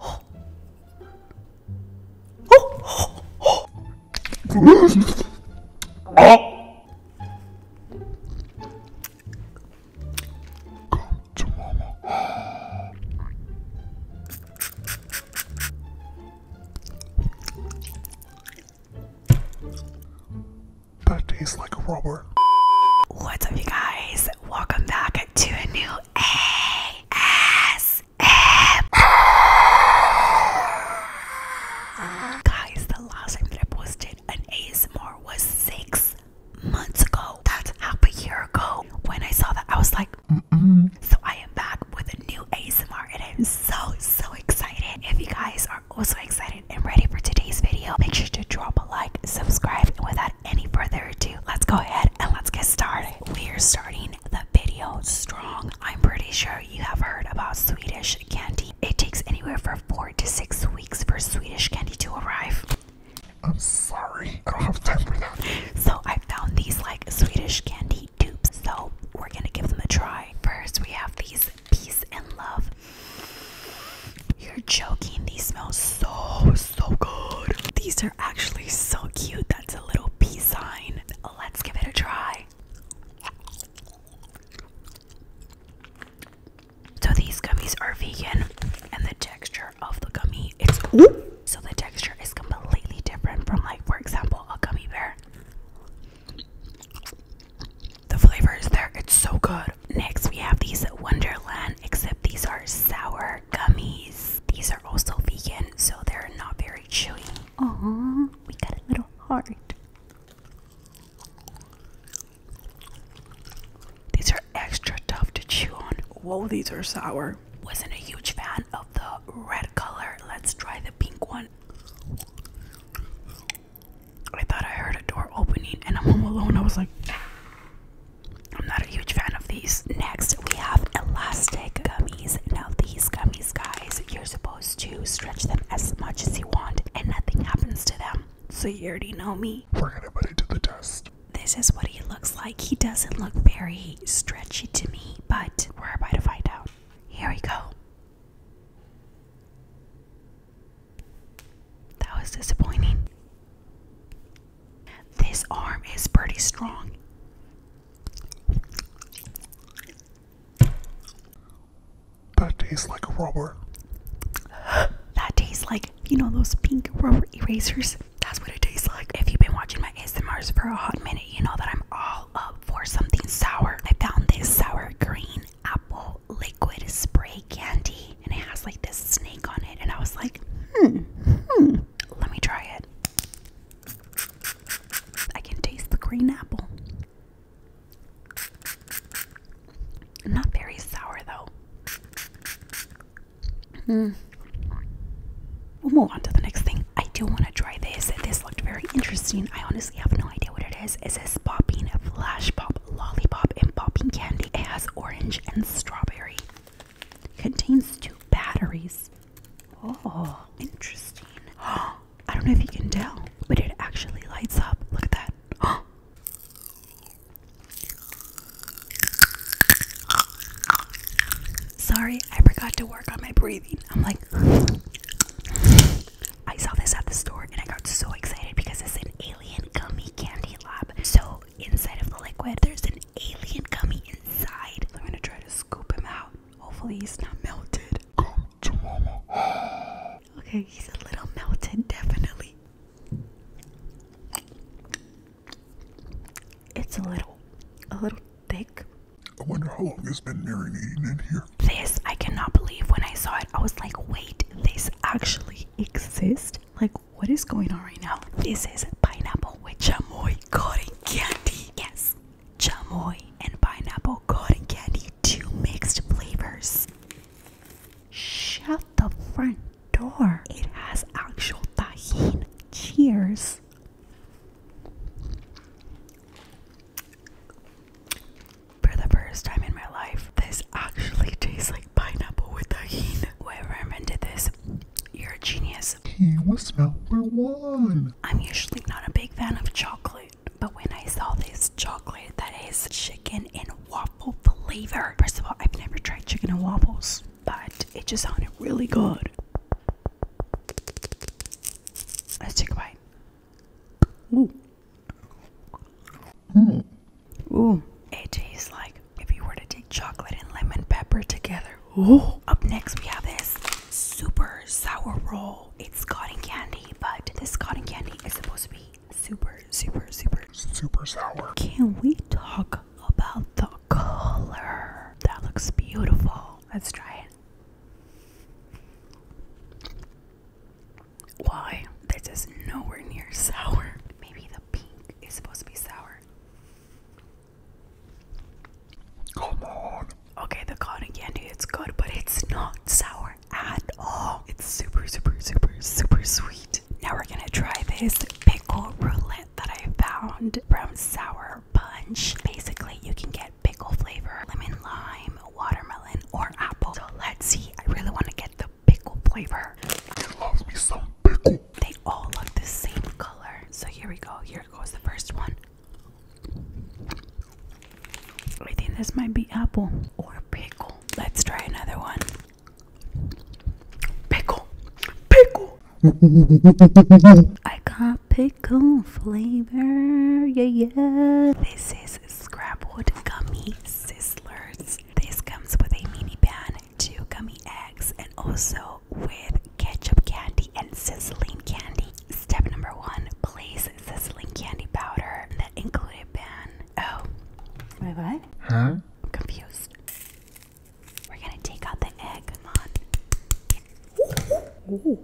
oh. to mama. that tastes like a rubber. What's up you guys? Welcome back to a new Guys, the last time I posted an ASMR was six months ago. That's half a year ago. When I saw that, I was like, mm -mm. so I am back with a new ASMR and I'm so, so excited. If you guys are also excited and ready for today's video, make sure to drop a like, subscribe, and with that, any further ado, let's go ahead and let's get started. We are starting the video strong. I'm pretty sure you have heard about Swedish candy. It takes anywhere from four to six weeks for Swedish candy to arrive. I'm sorry, I don't have time for that. So I found these like Swedish candy dupes, so we're gonna give them a try. First, we have these peace and love. You're joking, these smell so so good. These are actually so cute. That's a little peace sign. Let's give it a try. So these gummies are vegan and the texture of the gummy it's so the texture is completely different from like for example a gummy bear. The flavor is there, it's so good. Next we have these Wonderland, except these are sour gummies. These are also vegan, so they're not very chewy. Oh, we got a little heart. These are extra tough to chew on. Whoa, these are sour. Wasn't a huge fan of the red color. Let's try the pink one. I thought I heard a door opening and I'm home alone. I was like, I'm not a huge fan of these. Next, we have elastic gummies. Now, these gummies, guys, you're supposed to stretch them as much as you want and nothing happens to them. So, you already know me. We're gonna put it to the test. This is what he looks like. He doesn't look very stretchy to me, but we're about to find out. Here we go. That was disappointing. This arm is pretty strong. That tastes like rubber. that tastes like, you know, those pink rubber erasers. That's what it tastes like. If you've been watching my ASMRs for a hot minute, you know that I'm all up for something sour. I found this sour green apple liquid spray candy and it has like this snake on it. And I was like, hmm, hmm, let me try it. I can taste the green apple. Not very sour though. Hmm. We'll move on to the next thing. I do want to try this. This looked very interesting. I honestly have no idea what it is. It says popping flash pop lollipop and popping candy. It has orange and strawberry. Contains two batteries. Oh, interesting. I don't know if you can tell, but it actually lights up. Look at that. Sorry, I forgot to work on my breathing. I'm like, I saw this at the store and I got so excited because it's an alien gummy candy lab. So inside of the liquid. There's an alien coming inside. I'm gonna try to scoop him out. Hopefully, he's not melted. Come to mama. Okay, he's a little melted, definitely. It's a little, a little thick. I wonder how long it's been marinating in here. This I cannot believe when I saw it. I was like, wait, this actually exists like what is going on right now this is pineapple with chamoy cotton candy yes chamoy and pineapple cotton candy two mixed flavors shut the front door it has actual tajin cheers for the first time in my life, this actually tastes like pineapple with tahini. Whoever invented this, you're a genius. was number one. I'm usually not a big fan of chocolate, but when I saw this chocolate that is chicken and waffle flavor, first of all, I've never tried chicken and waffles, but it just sounded really good. Let's take a bite. Ooh. Mm. Ooh. It tastes like if you were to take chocolate and lemon pepper together. Ooh. Up next, we have this super sour roll. It's cotton candy, but this cotton candy is supposed to be super, super, super, super sour. Can we talk about the color? That looks beautiful. Let's try it. Why? This is nowhere near sour. Maybe the pink is supposed to be sour. Come on. Okay, the cotton candy it's good, but it's not sour at all. It's super, super, super, super sweet. Now we're gonna try this pickle roulette that I found from Sour Punch. Basically, you can get pickle flavor, lemon lime, watermelon, or apple. So let's see. I really want to get the pickle flavor. They all look the same color. So here we go. Here goes the first one. I think this might be apple or pickle. Let's try another one. Pickle. Pickle. I got pickle flavor. Yeah, yeah. This is Scrapwood Gummy Sizzlers. This comes with a mini pan two gummy eggs and also with ketchup candy and sizzling candy. Step number one, place sizzling candy powder in the included pan. Oh, my what? Huh? I'm confused. We're gonna take out the egg. Come on.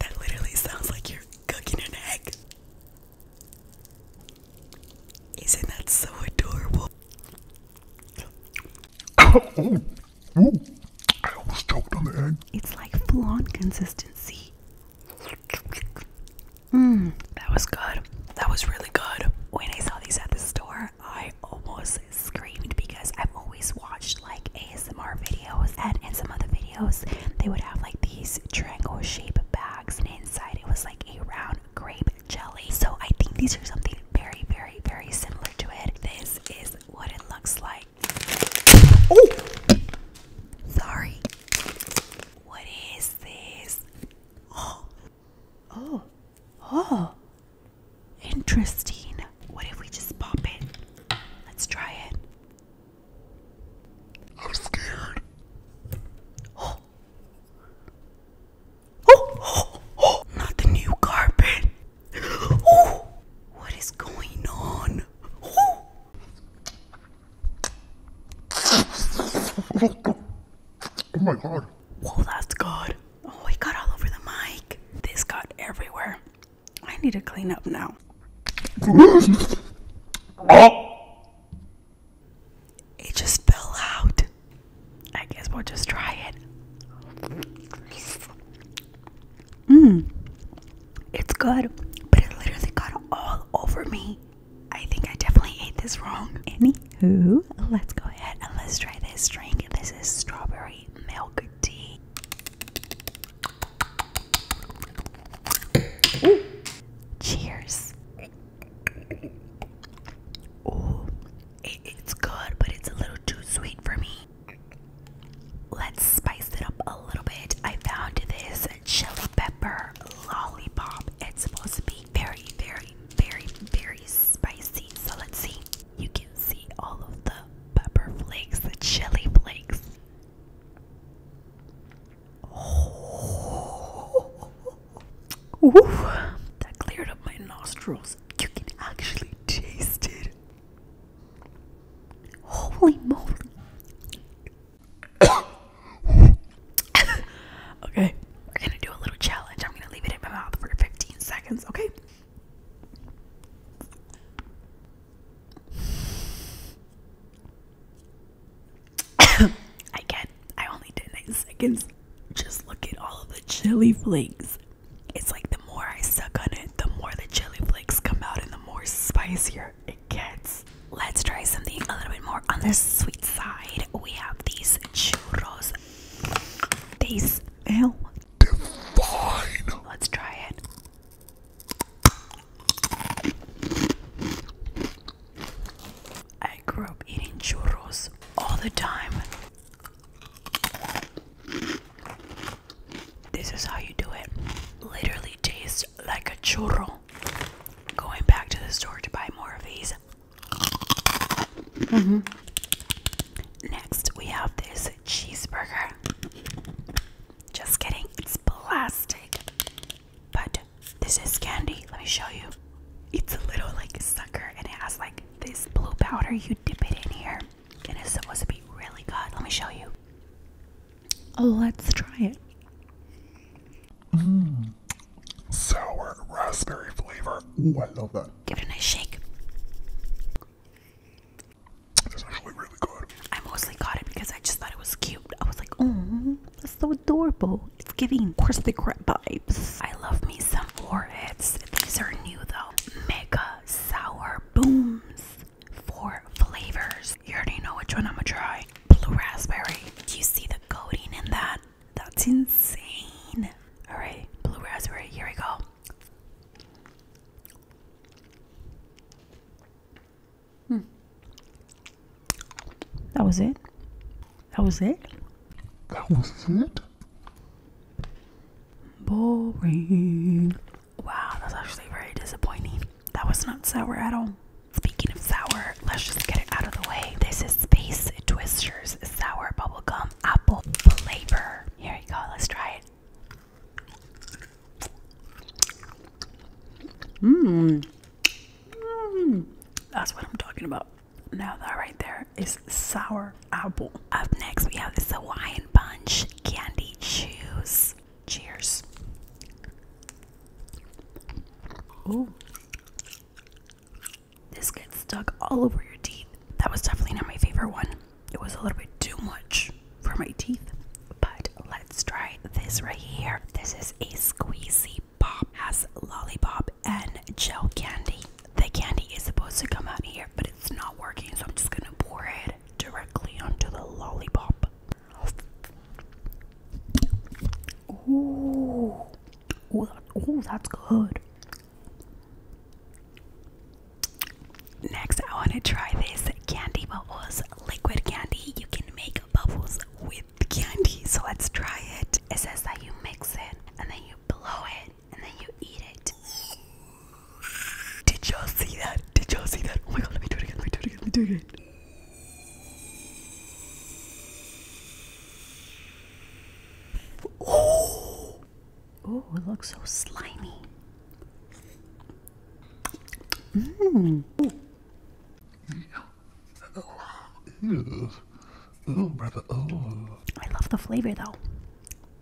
That literally sounds like you're cooking an egg. Isn't that so adorable? I almost choked on the egg. It's like full consistency. Mmm, that was good. That was really good. When I saw these at the store, I almost screamed because I've always watched like ASMR videos and in some of the videos they would have like these triangle shaped bags and inside it was like a round brown grape jelly. So I think these are something very, very, very similar to it. This is what it looks like. Oh! Sorry. What is this? Oh. Oh. Oh. Interesting. What if we just pop it? Let's try it. I'm scared. Oh. Oh. Oh, oh, oh. Not the new carpet. Oh. What is going on? Oh. Oh my god. Whoa, that's good. Oh, it got all over the mic. This got everywhere. I need to clean up now. oh. It just fell out. I guess we'll just try it. Mmm. It's good, but it literally got all over me. I think I definitely ate this wrong. Annie, who? let's go ahead and let's try this drink. This is strawberry milk tea. Cheers. Ooh, it's good, but it's a little too sweet for me. Let's spice it up a little bit. I found this chili pepper lollipop. It's supposed to be very, very, very, very spicy. So let's see. You can see all of the pepper flakes, the chili flakes. That cleared up my nostrils. You can actually taste it. Holy moly. okay, we're gonna do a little challenge. I'm gonna leave it in my mouth for 15 seconds, okay? I can't. I only did nine seconds. Just look at all the chili flakes. It's like the more I suck on it, the more the chili flakes come out and the more spicier it gets. Let's try something a little bit more on the sweet side. We have these churros. They smell divine. Let's try it. I grew up eating churros all the time. This is how you do it. Literally tastes like a churro. Going back to the store to buy more of these. Mm-hmm. Next, we have this cheeseburger. Just kidding, it's plastic. But this is candy. Let me show you. It's a little like sucker and it has like this blue powder. You dip it in here and it's supposed to be really good. Let me show you. Oh, let's try it. Mmm. Sour raspberry flavor. Oh, I love that. Give it a nice shake. It's actually really good. I mostly got it because I just thought it was cute. I was like, oh, that's so adorable. It's giving crusty crab vibes. I love me some warheads. These are new though. Mega sour booms. Four flavors. You already know which one I'm gonna try. Blue raspberry. Do you see the coating in that? That's insane. Alright, blue raspberry, here we go. Hmm. That was it. That was it. That was it. Boring. Wow, that's actually very disappointing. That was not sour at all. Speaking of sour, let's just get it out of the way. This is Space Twisters Sour Bubblegum Apple Flavor. Here you go, let's try it. Mmm that's what I'm talking about. Now that right there is sour apple. Up next, we have this Hawaiian punch candy juice. Cheers. Ooh. This gets stuck all over your teeth. That was definitely not my favorite one. It was a little bit too much for my teeth. But let's try this right here. This is a squeezy Lollipop has lollipop and gel candy. The candy is supposed to come out here, but it's not working, so I'm just gonna pour it directly onto the lollipop. Ooh, ooh, ooh that's good. Next, I want to try this candy bubbles, liquid candy. You can make bubbles with the candy, so let's try it. It says that you mix it and then you blow it and then you eat it. Did y'all see that? Did y'all see that? Oh my god, let me do it again, let me do it again, let me do it again. Oh, oh it looks so slimy. Mmm. Ew. Ooh, brother. Ooh. I love the flavor though.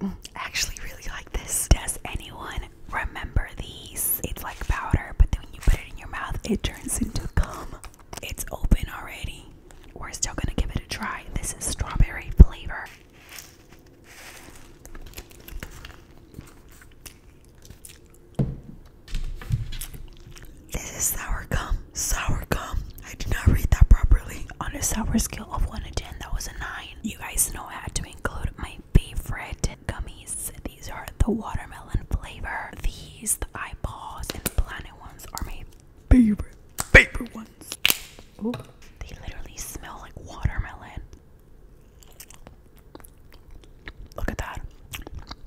Mm, I actually really like this. Does anyone remember these? It's like powder, but then when you put it in your mouth, it turns into gum. It's open already. We're still gonna give it a try. This is strawberry flavor. This is sour gum. Sour gum. I did not read that properly. On a sour scale of 1 to 10, that was a 9. You guys know I had to include my favorite gummies. These are the watermelon flavor. These, the eyeballs, and the planet ones are my favorite, favorite ones. Ooh, they literally smell like watermelon. Look at that.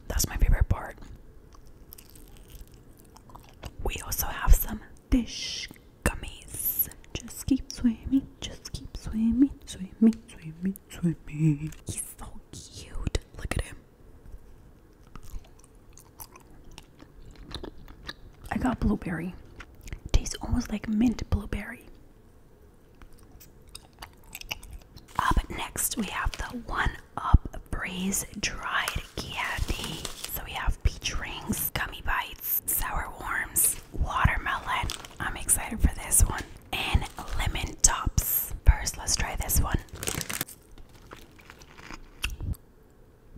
That's my favorite part. We also have some dish gummies. Just keep swimming, just keep swimming, swimming, swimming, swimming. He's so cute. Look at him. I got blueberry. Tastes almost like mint blueberry. Up next, we have the one up breeze dried candy. So we have peach rings, gummy bites, sour worms, watermelon. I'm excited for this one. And lemon tops. First, let's try this one.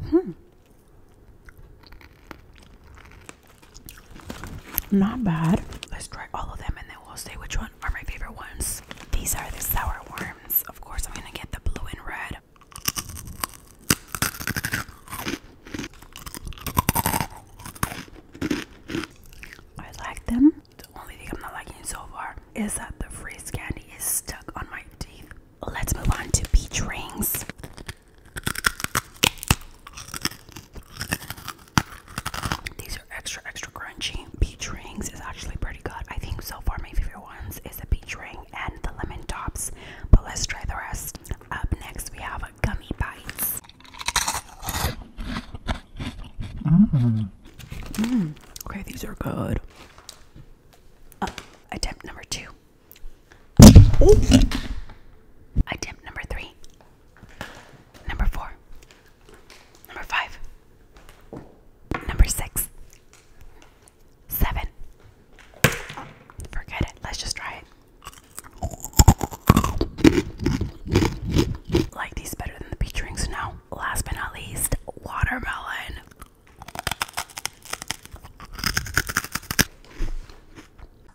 Hmm. Not bad. Let's try all of them and then we'll see which one are my favorite ones. These are the sour worms. Of course, I'm gonna get the blue and red. I like them. The only thing I'm not liking so far is that the freeze candy is stuck on my teeth. Let's move on to peach rings extra, extra crunchy. Peach rings is actually pretty good. I think so far my favorite ones is the peach ring and the lemon tops. But let's try the rest. Up next, we have gummy bites. Mm. Mm. Okay, these are good. attempt number two. Attempt number three. Number four. Number five. Number six. Seven. forget it. Let's just try it. Like these better than the peach rings now. Last but not least, watermelon.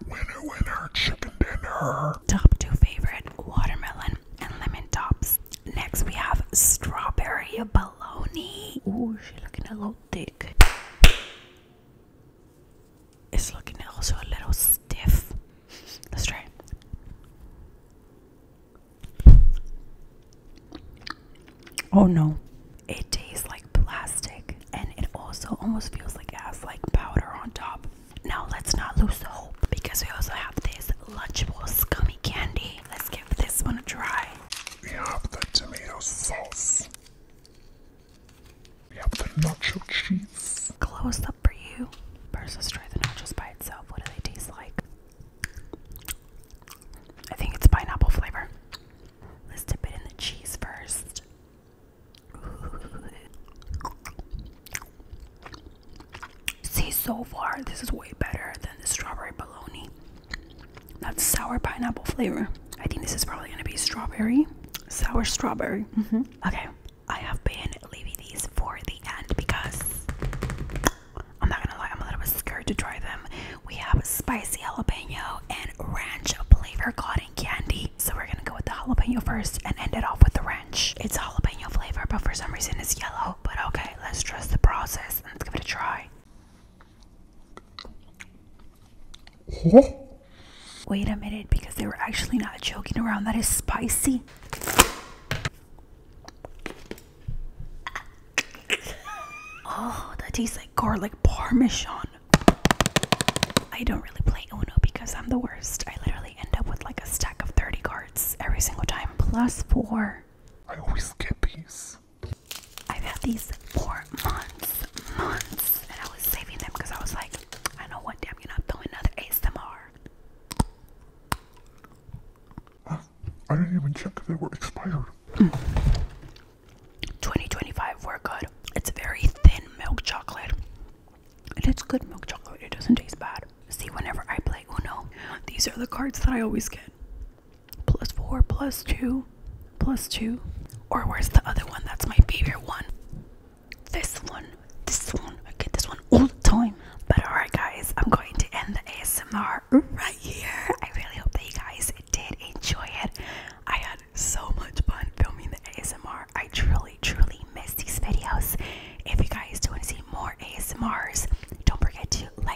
Winner, winner, chicken dinner. Top two favorite watermelon and lemon tops. Next, we have strawberry baloney. Oh, she's looking a little thick. It's looking also a little stiff. Let's try. Oh no, it tastes like plastic and it also almost feels like it has like powder on top. Now let's not lose the hope because we also have this Lunchable Scummy Candy let's give this one a try. We have the tomato sauce. We have the nacho cheese. Close up for you. Versus try the nachos by itself. What do they taste like? I think it's pineapple flavor. Let's dip it in the cheese first. See, so far, this is way better than the strawberry bologna. That's sour pineapple flavor. I think this is probably gonna be strawberry, sour strawberry. Mm-hmm. Okay, I have been leaving these for the end because I'm not gonna lie, I'm a little bit scared to try them. We have spicy jalapeno and ranch flavor cotton candy. So we're gonna go with the jalapeno first and end it off with the ranch. It's jalapeno flavor, but for some reason it's yellow. Oh, but okay, let's trust the process let's give it a try. Wait a minute, because they were actually not joking around. That is spicy. Oh, that tastes like garlic parmesan. I don't really play Uno because I'm the worst. I literally end up with like a stack of 30 cards every single time. Plus four. I always get these. I've had these for months, months, and I was saving them because I was like, I know one day I'm gonna throw another ASMR. Huh? I didn't even check if they were expired. Hmm. 2025 were good. It's very thin milk chocolate. And it's good milk chocolate. It doesn't taste bad see whenever I play Uno, these are the cards that I always get. Plus four, plus two, plus two. Or where's the other one? That's my favorite one. This one. This one. I get this one all the time. But alright guys, I'm going to end the ASMR right here. I really hope that you guys did enjoy it. I had so much fun filming the ASMR. I truly, truly miss these videos. If you guys do want to see more ASMRs, don't forget to like